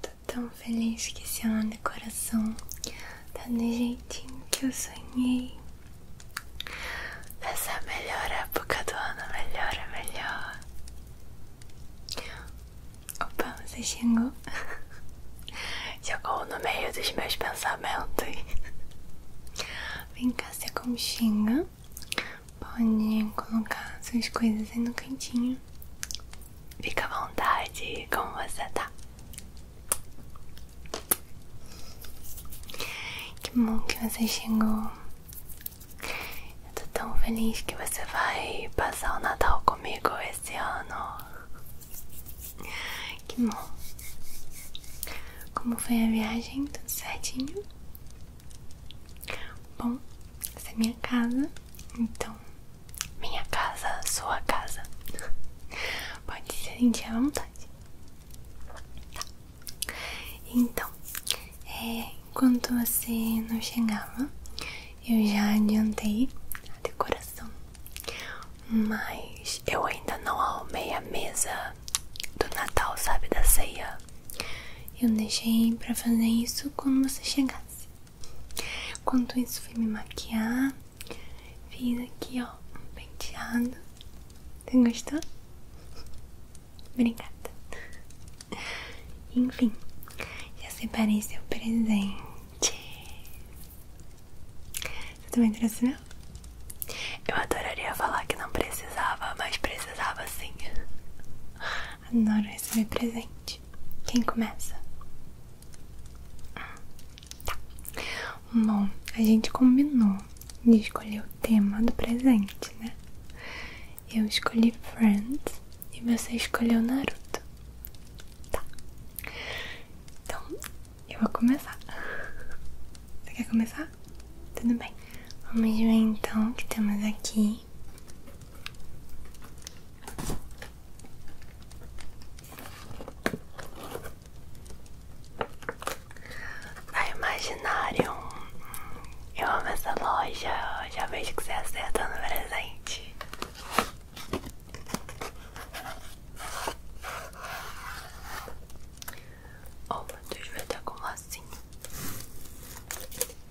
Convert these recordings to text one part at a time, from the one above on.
Tô tão feliz que esse ano de coração tá do jeitinho que eu sonhei. Nessa melhor época do ano, melhor é melhor. Opa, você chegou? Chegou no meio dos meus pensamentos. Vem cá, se Xinga? Pode colocar suas coisas aí no cantinho. Fica à vontade como você tá. Que bom que você chegou. Eu tô tão feliz que você vai passar o Natal comigo esse ano. Que bom. Como foi a viagem? Tudo certinho? Bom, essa é minha casa, então minha casa, sua casa. Pode se sentir à vontade. Tá. Então, é, enquanto você não chegava, eu já adiantei a decoração. Mas eu ainda não arrumei a mesa do Natal, sabe? Da ceia. Eu deixei pra fazer isso quando você chegasse. Enquanto isso, fui me maquiar. Fiz aqui, ó, um penteado. Você gostou? Obrigada. Enfim, já separei seu presente. Você também trouxe não? Eu adoraria falar que não precisava, mas precisava sim. Adoro receber presente. Quem começa? Hum, tá. Bom, a gente combinou de escolher o tema do presente, né? Eu escolhi Friends e você escolheu Naruto. Tá. Então, eu vou começar. Você quer começar? Tudo bem. Vamos ver então o que temos aqui. Na Imaginarium, eu amo essa loja, já vejo que você acerta no presente. Oh meu Deus, vai estar com lacinho.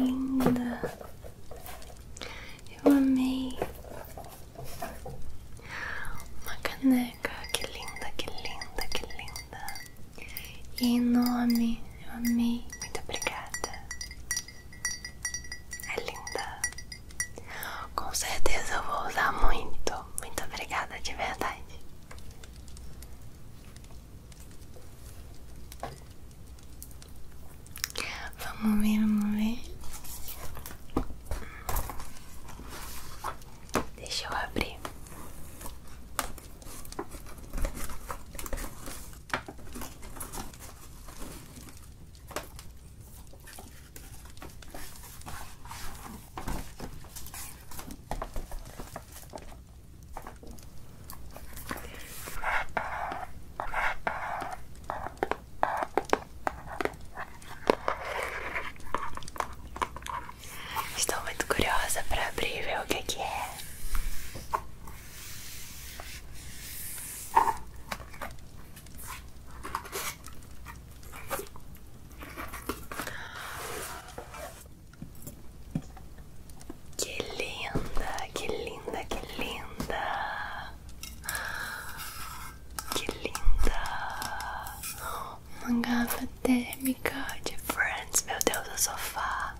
Oh, you mean the... You and me Uma caneca, que linda, que linda, que linda. E em nome, eu amei. Muito obrigada. É linda. Com certeza eu vou usar muito. Muito obrigada de verdade. Vamos ver, vamos ver. Deixa eu abrir. Estou muito curiosa para abrir e ver o que, que é. Que linda, que linda, que linda. Que linda! Uma garrafa térmica de Friends, meu Deus, do sofá.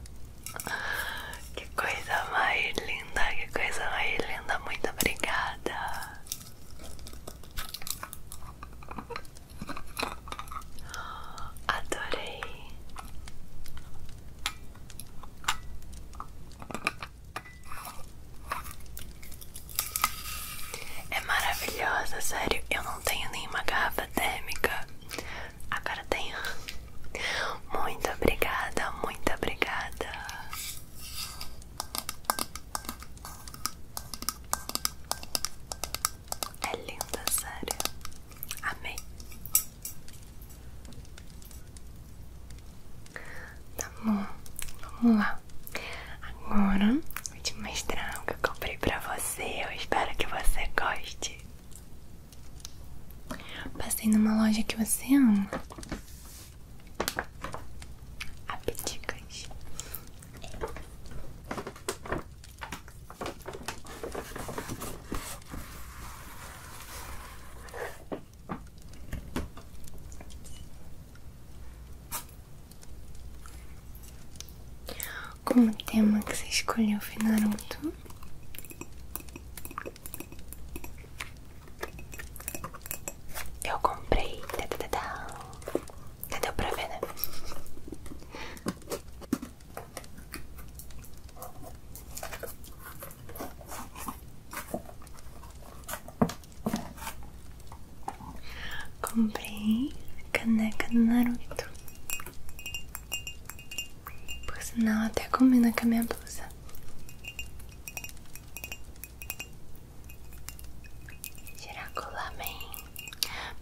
Que coisa mais linda, que coisa mais linda. Muito obrigada. Adorei. É maravilhosa, sério. Eu não tenho nenhuma garrafa térmica. Agora tenho. Muito obrigada, muito obrigada. É linda, sério. Amei. Tá vamos lá. Agora vou te mostrar o que eu comprei pra você. Eu espero que você goste. Passei numa loja que você ama. Apeticas. Como tema que você escolheu foi Naruto. Eu comprei. Tá, tá, tá, Já deu pra ver, né? Comprei caneca do Naruto. Por sinal, até comi na a minha Tirar com o lamen.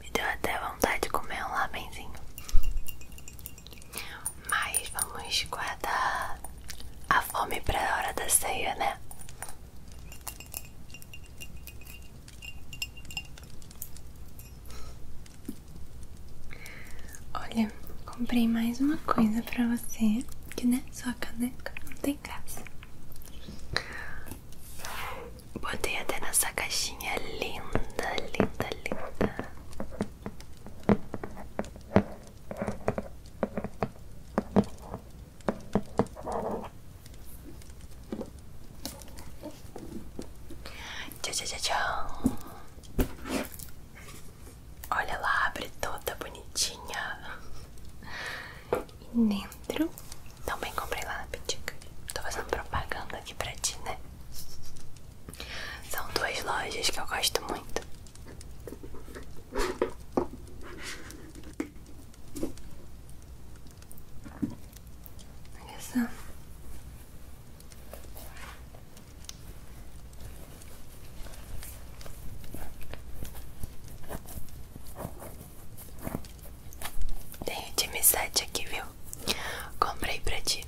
Me deu até vontade de comer um lamenzinho. Mas vamos guardar a fome para a hora da ceia, né? Olha, comprei mais uma coisa para você, que né, sua caneca não tem graça. Botei até nessa caixinha linda, linda, linda. Tchau, tchau, tchau, tchau. Olha, lá abre toda bonitinha. E dentro também comprei lá na Pitica. Tô fazendo propaganda aqui pra ti, né? São duas lojas que eu gosto muito. Tem o time 7 aqui, viu? Comprei pra ti.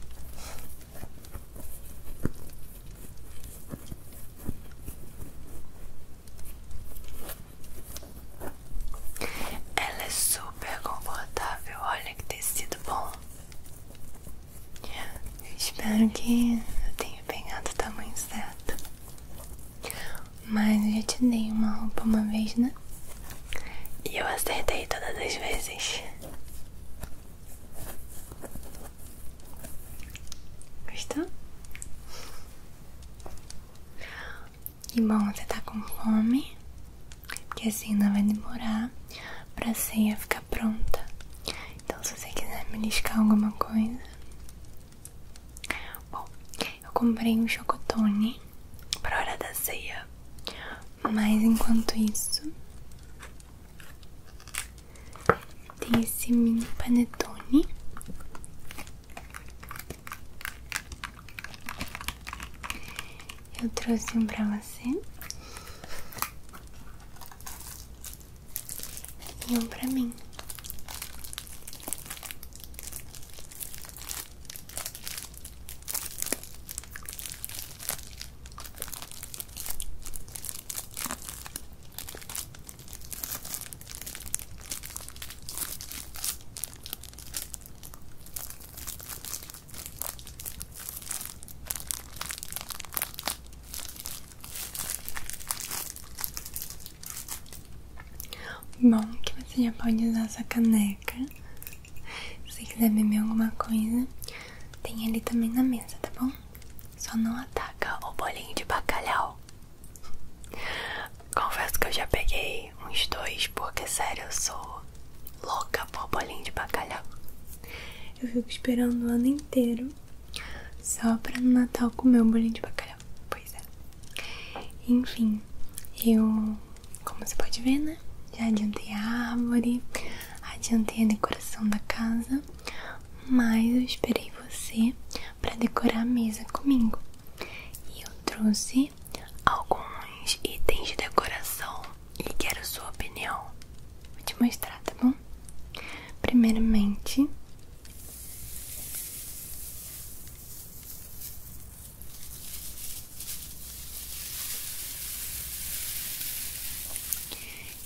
Ela é super confortável, olha que tecido bom. espero que eu tenha pegado o tamanho certo. Mas eu já te dei uma roupa uma vez, né? E eu acertei todas as vezes. Gostou? E bom, você tá com fome? Porque assim não vai demorar pra ceia ficar pronta. Então, se você quiser beliscar alguma coisa. Bom, eu comprei um chocotone pra hora da ceia. Mas enquanto isso, tem esse mini panetone. Eu trouxe um pra você e um pra mim. Bom, que você já pode usar essa caneca. Se quiser beber alguma coisa, tem ali também na mesa, tá bom? Só não ataca o bolinho de bacalhau. Confesso que eu já peguei uns dois, porque sério, eu sou louca por bolinho de bacalhau. Eu fico esperando o ano inteiro só pra no Natal comer um bolinho de bacalhau. Pois é. Enfim, eu, como você pode ver, né? Já adiantei a árvore. Adiantei a decoração da casa, mas eu esperei você para decorar a mesa comigo. E eu trouxe alguns itens de decoração e quero sua opinião. Vou te mostrar, tá bom? Primeiramente,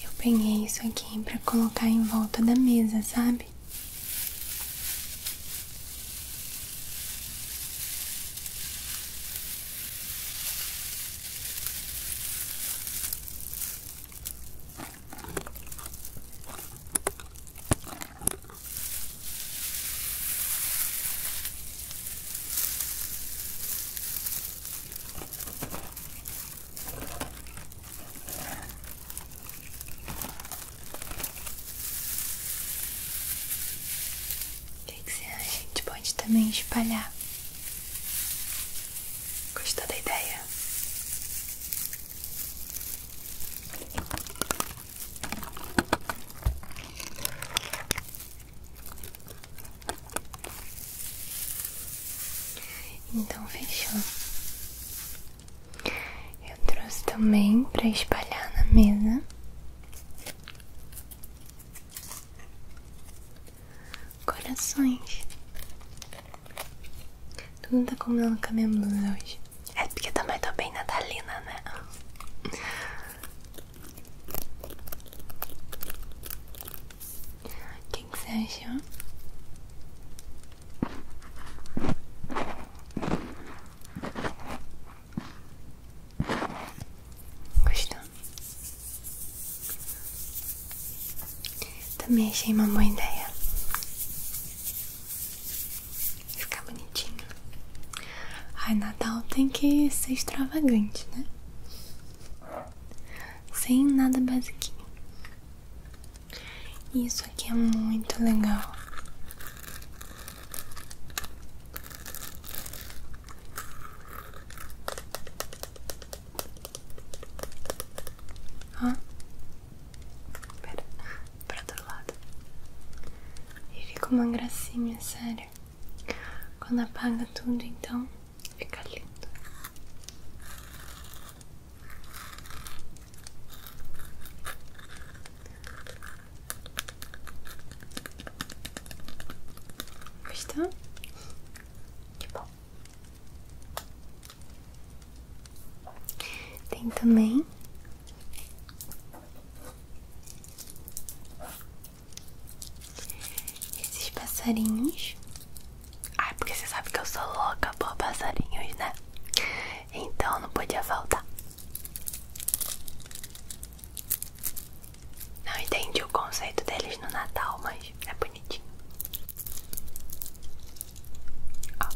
eu peguei isso aqui para colocar em volta da mesa, sabe? O que, que você acha? A gente pode também espalhar. Gostou da ideia? Então fechou. Eu trouxe também para espalhar na mesa. Corações. Tudo não tá combinando com a minha blusa hoje. É porque também tá bem natalina, né? O que, que você achou? Gostou? Também achei uma boa ideia. Ficar bonitinho. Ai, Natal tem que ser extravagante, né? Sem nada basiquinho. Isso aqui é muito legal. Ó, pera, para do lado. Ele ficou uma gracinha, sério. Quando apaga tudo, então fica lindo. Gostou? Que bom. Tem também esses passarinhos. Ai, porque você sabe que eu sou louca por passarinhos, né? Então não podia faltar. Não entendi o conceito deles no Natal, mas é bonitinho. Ó.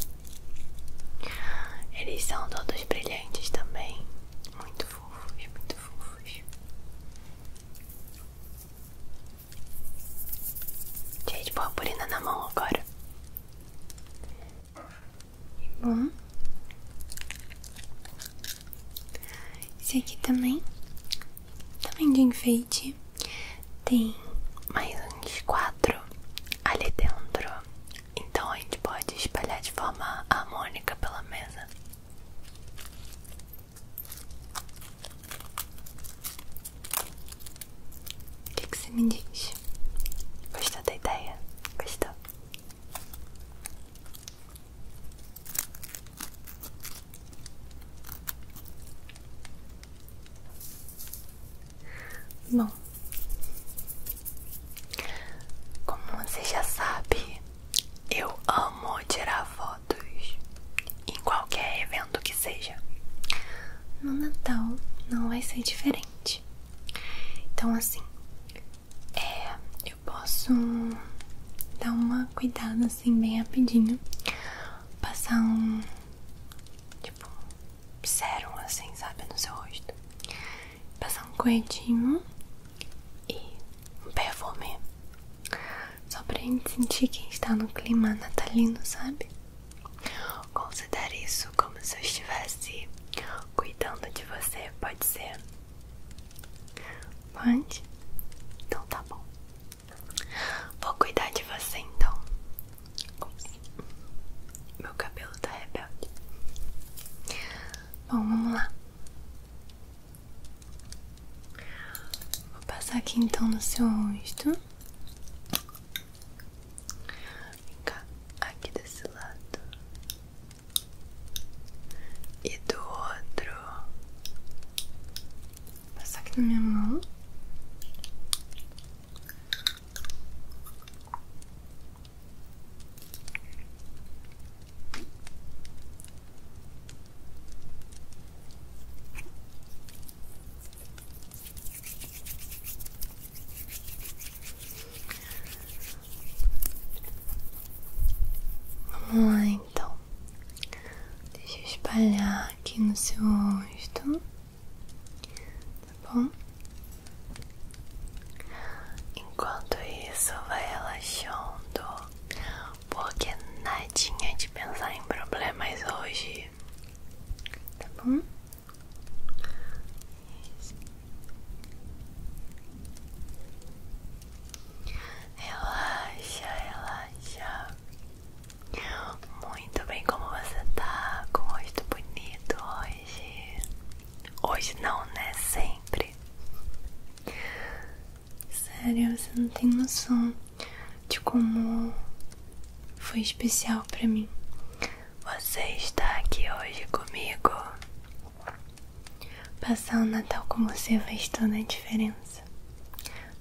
Eles são todos brilhantes também. Muito fofos, muito fofos. Cheio de purpurina na mão agora. Bom. Esse aqui também. Também de enfeite. Tem mais uns quatro ali dentro. Então a gente pode espalhar de forma harmônica pela mesa. O que, é que você me diz? Gostou da ideia? Gostou? Bom, como você já sabe, eu amo tirar fotos em qualquer evento que seja. No Natal não vai ser diferente. Então assim, é, eu posso dar uma cuidada assim bem rapidinho, passar um tipo sérum assim, sabe, no seu rosto passar um coedinho e um perfume. Só pra gente sentir quem está no clima natalino, sabe? Considere isso como se eu estivesse cuidando de você, pode ser? Pode? Então tá bom. Vou cuidar de você então. Ups. Meu cabelo tá rebelde. Bom, vamos lá. Vou passar aqui então no seu rosto. Vem cá, aqui desse lado. E do outro. Vou passar aqui na minha mão. Vamos lá então. Deixa espalhar aqui no seu rosto, tá bom? Enquanto isso, vai relaxando, porque nadinha de pensar em problemas hoje, tá bom? Isso. Relaxa, relaxa. Muito bem, como você tá? Com rosto bonito hoje. Hoje não, né? Sempre. Sério, você não tem noção de como foi especial para mim. Você está aqui hoje comigo. Passar o Natal com você faz toda a diferença.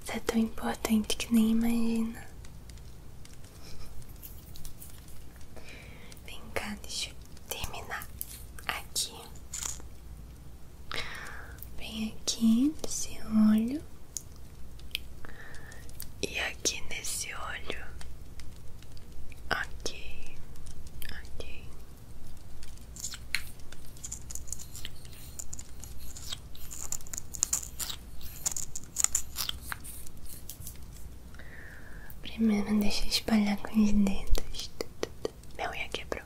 Você é tão importante que nem imagina. Vem cá, deixa eu terminar aqui. Vem aqui nesse olho. E aqui nesse olho. Ok. Ok. Primeiro deixa eu espalhar com os dedos. Minha unha quebrou.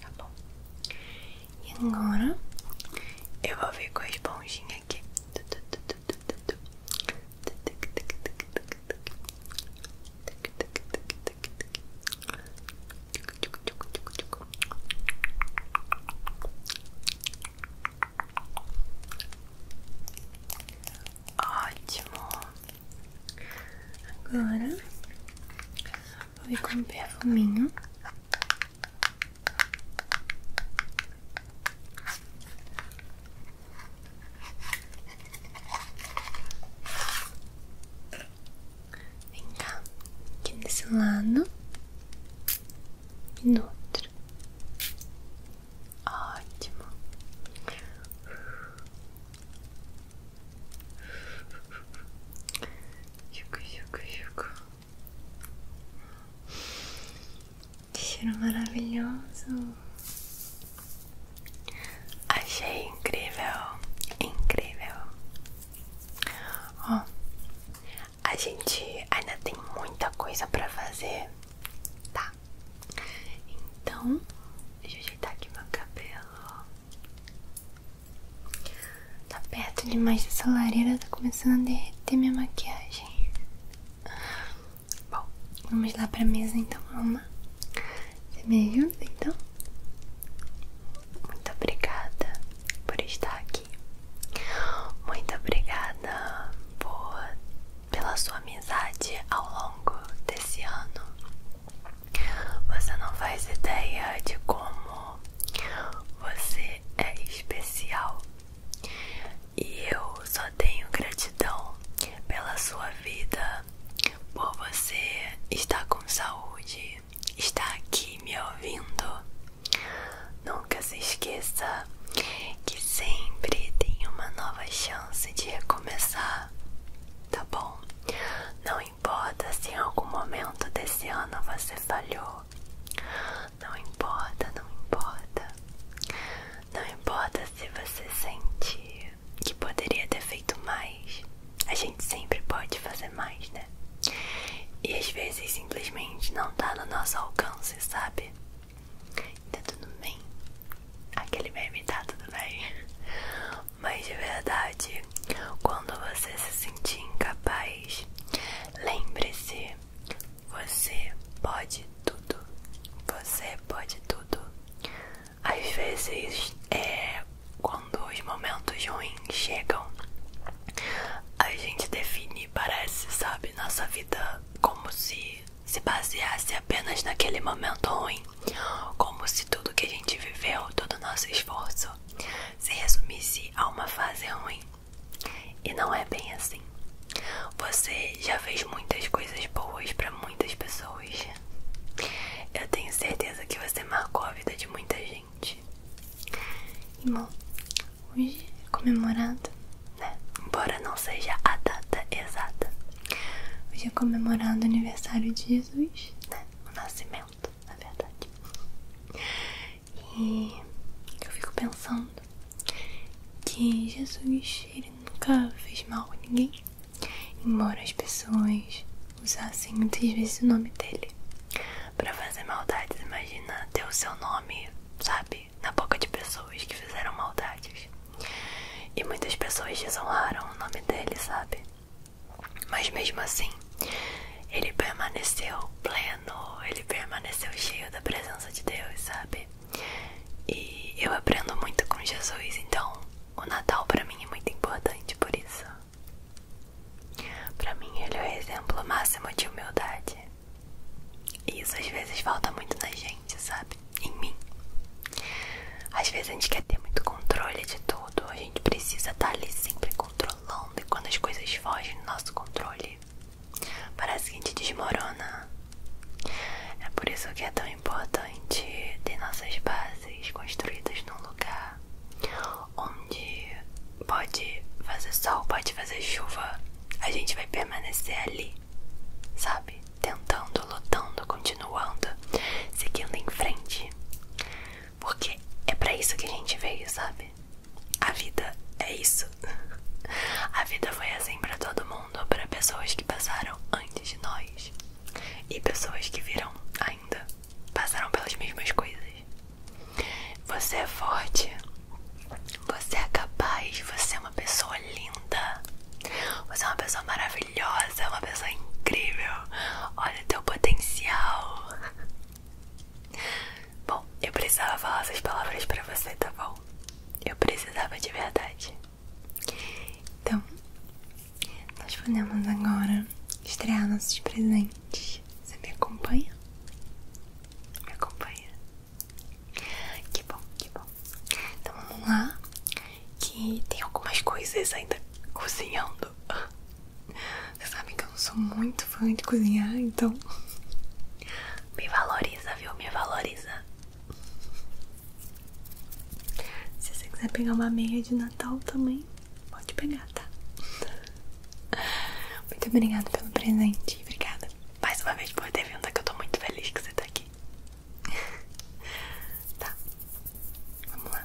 Tá bom. E agora eu vou ver com a esponjinha aqui. Ótimo. Agora vou comer com um perfuminho. Vem cá, aqui desse lado e no outro. Ótimo. Que cheiro maravilhoso. Achei incrível, incrível. Ó, a gente ainda tem muita coisa para fazer, tá? Então, deixa eu ajeitar aqui meu cabelo. Tá perto demais dessa lareira, tá começando a derreter minha maquiagem. Bom, vamos lá pra mesa então, mamãe. Você me então? Muito obrigada por estar aqui. Muito obrigada por pela sua amizade ao longo desse ano. Você não faz ideia de como você é especial. E eu só tenho gratidão pela sua vida, por você estar com saúde, estar aqui me ouvindo. Nunca se esqueça que sempre tem uma nova chance de recomeçar tá bom? Não importa se em algum momento desse ano você falhou, não importa, não importa, não importa se você sente que poderia ter feito mais, a gente sempre pode fazer mais, né? E às vezes simplesmente não tá no nosso alcance, sabe? Tá tudo bem, aquele meme tá tudo bem. Mas de verdade, quando você se sentir incapaz, lembre-se, você pode tudo. Você pode tudo. Às vezes, é quando os momentos ruins chegam, a gente define, parece, sabe, nossa vida como se se baseasse apenas naquele momento ruim, como se tudo que a gente viveu, todo o nosso esforço, se resumisse a uma fase ruim. E não é bem assim. Você já fez muitas coisas boas para muitas pessoas. Eu tenho certeza que você marcou a vida de muita gente. E hoje é comemorado, né? Embora não seja a data exata. Hoje é comemorando o aniversário de Jesus, né? O nascimento, na verdade. E eu fico pensando que Jesus ele nunca fez mal a ninguém, embora as pessoas usassem muitas vezes o nome dele para fazer maldades. Imagina ter o seu nome, sabe, na boca de pessoas que fizeram maldades. E muitas pessoas desonraram o nome dele, sabe? Mas mesmo assim, ele permaneceu pleno, ele permaneceu cheio da presença de Deus, sabe? E eu aprendo muito com Jesus, então o Natal para mim é muito importante por isso. Para mim, ele é o exemplo máximo de humildade. E isso às vezes falta muito na gente, sabe? em mim. Às vezes a gente quer ter muito controle de tudo, a gente precisa estar tá ali sempre controlando, e quando as coisas fogem do nosso controle, parece que a gente desmorona. É por isso que é tão importante ter nossas bases construídas num lugar onde pode fazer sol, pode fazer chuva, a gente vai permanecer ali, sabe? tentando, lutando, continuando, seguindo em frente. Porque é para isso que a gente veio, sabe? A vida é isso. A vida foi assim para todo mundo, para pessoas que passaram antes de nós e pessoas que virão ainda, passaram pelas mesmas coisas. Você é forte, você é capaz, você é uma pessoa linda. Você é uma pessoa maravilhosa, é uma pessoa incrível. Olha o teu potencial. Bom, eu precisava falar essas palavras pra você, tá bom? Eu precisava de verdade. Então, nós podemos agora estrear nossos presentes. Você me acompanha? Me acompanha? Que bom, que bom. Então vamos lá, que tem algumas coisas ainda cozinhando. Vocês sabem que eu não sou muito fã de cozinhar, então me valoriza, viu? Me valoriza. Se você quiser pegar uma meia de Natal também, pode pegar, tá? Muito obrigada pelo presente. Obrigada mais uma vez por ter vindo, que eu tô muito feliz que você tá aqui. tá, vamos lá.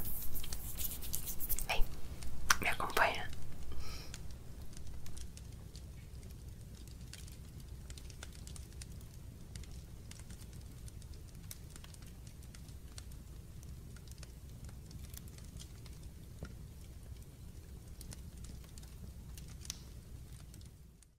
Vem, me acompanha.